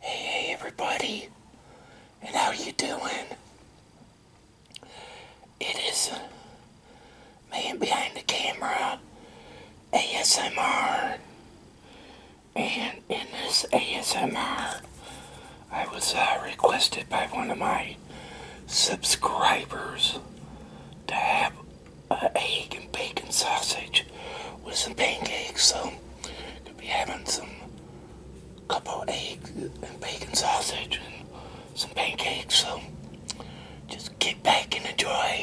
Hey, everybody, and how you doing? It is a man behind the camera, ASMR, and in this ASMR, I was uh, requested by one of my subscribers to have uh, egg and bacon sausage with some pancakes, so could be having some couple eggs and bacon sausage and some pancakes. So just get back and enjoy.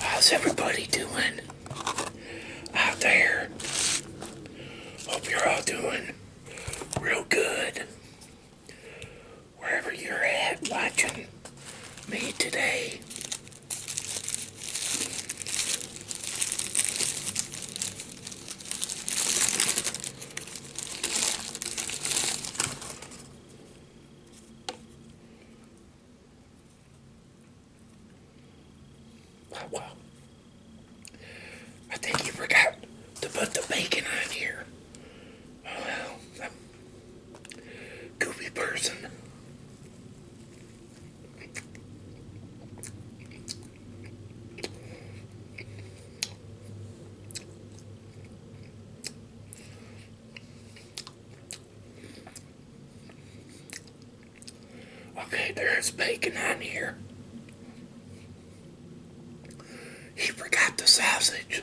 How's everybody doing out there? Hope you're all doing real good. Wherever you're at watching me today. Wow. I think you forgot to put the bacon on here. Oh, well, person. Okay, there's bacon on here. He forgot the sausage.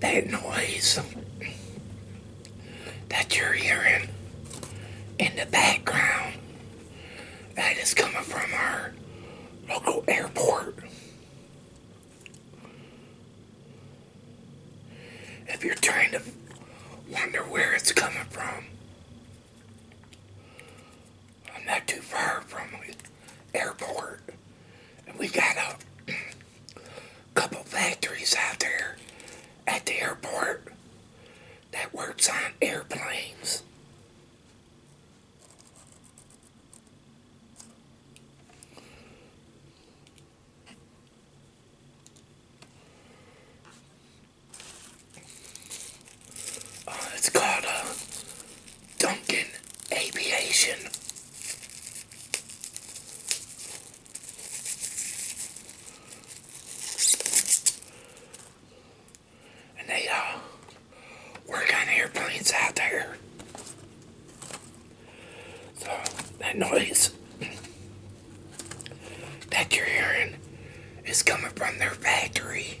That noise that you're hearing in the background that is coming from our local airport. If you're trying to wonder where it's coming from, I'm not too far from it airport. And we got a couple factories out there at the airport that works on airplanes. Uh, it's called a uh, Duncan Aviation. And they uh, work on airplanes out there. So that noise that you're hearing is coming from their factory.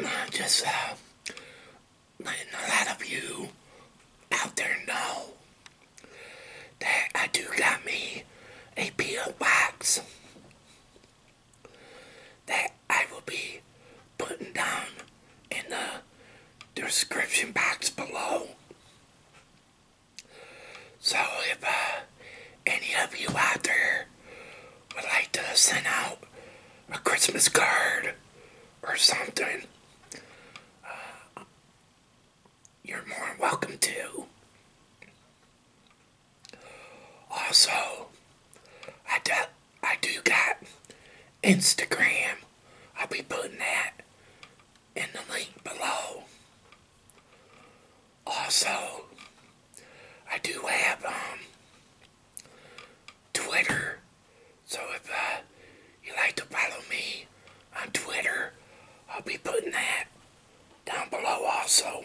Just uh, a lot of you out there know that I do got me a P.O. box that I will be putting down in the description box below. So if uh, any of you out there would like to send out a Christmas card or something, uh, you're more than welcome to. Also, I, de I do got Instagram. I'll be putting that in the link below. Also, I do have um, Twitter. So if uh, you like to follow me on Twitter, I'll be putting that down below also.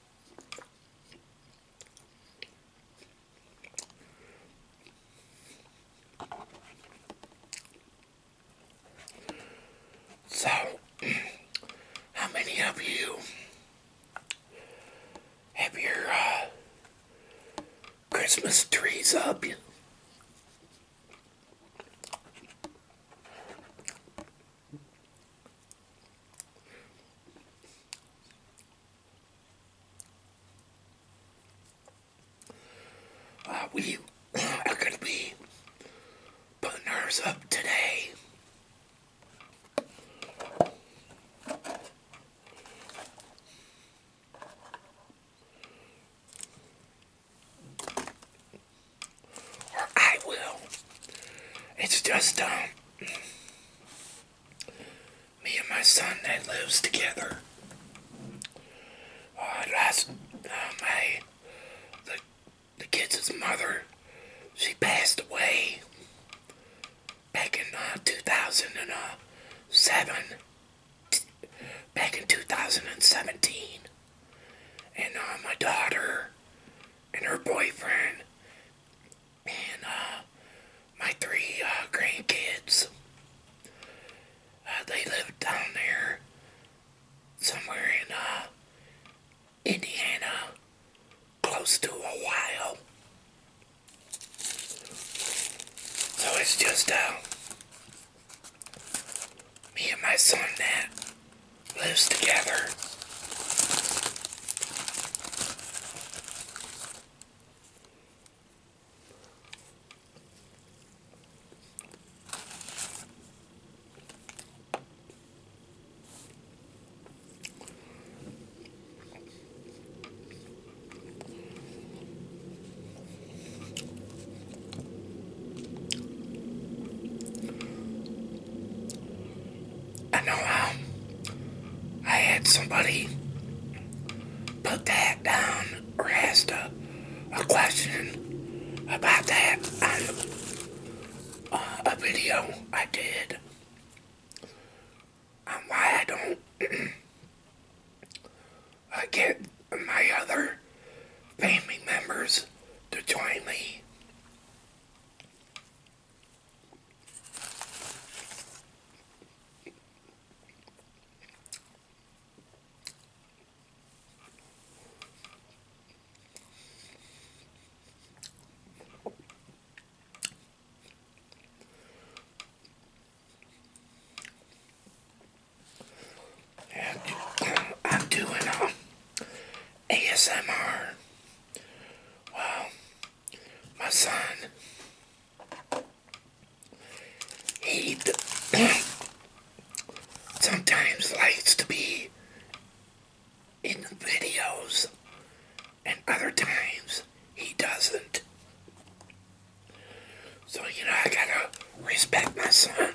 So, how many of you have your uh, Christmas trees up? Uh, we are going to be putting ours up today. Or I will. It's just, um, me and my son that lives together. last, uh, oh, the, the kids' mother, she passed away back in uh, 2007. Back in 2017. And uh, my daughter and her boyfriend and uh, my three uh, grandkids. Uh, they live down there somewhere in Indiana, close to Ohio. So it's just uh, me and my son there lives together. I know um, I had somebody put that down or asked a, question about that uh, a video I did on um, why I don't I get my other family members to join me. I'm doing um, ASMR. Well, my son, he sometimes likes to be in the videos, and other times he doesn't. So, you know, I gotta respect my son.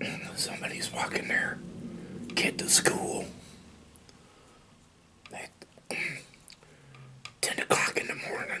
somebody's walking there. kid to school at 10 o'clock in the morning.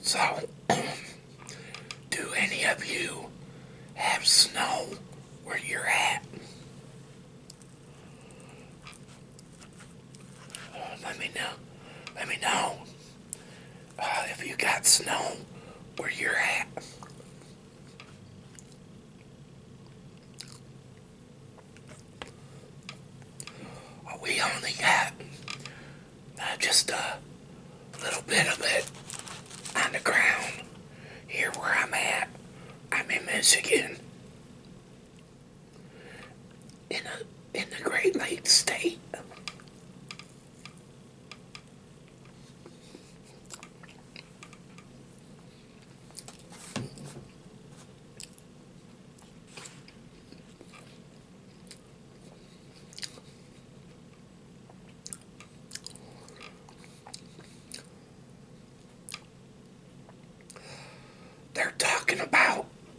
So, do any of you have snow where you're at? let me know. Let me know uh, you got snow where you're at. we only got uh, just a little bit of it on the ground here where I'm at. I'm in Michigan, in a, in the Great Lakes state. They're talking about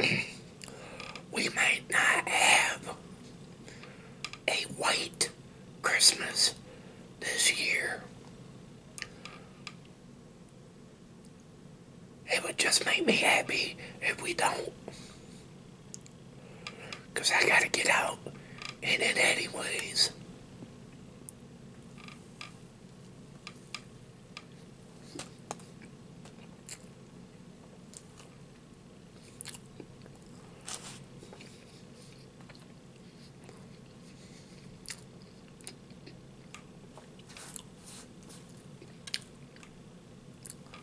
we might not have a white Christmas this year. It would just make me happy if we don't. Because I got to get out in it anyways.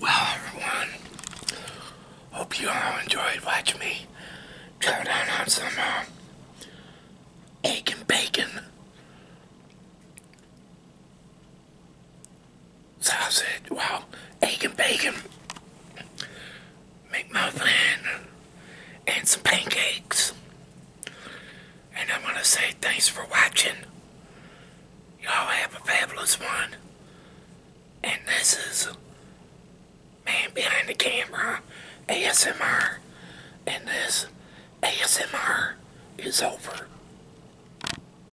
Well, everyone, hope you all enjoyed watching me chow down on some uh, egg and bacon sausage, well, egg and bacon, McMuffin, and some pancakes. And I want to say thanks for watching. Y'all have a fabulous one. And this is Man Behind the Camera ASMR. And this ASMR is over.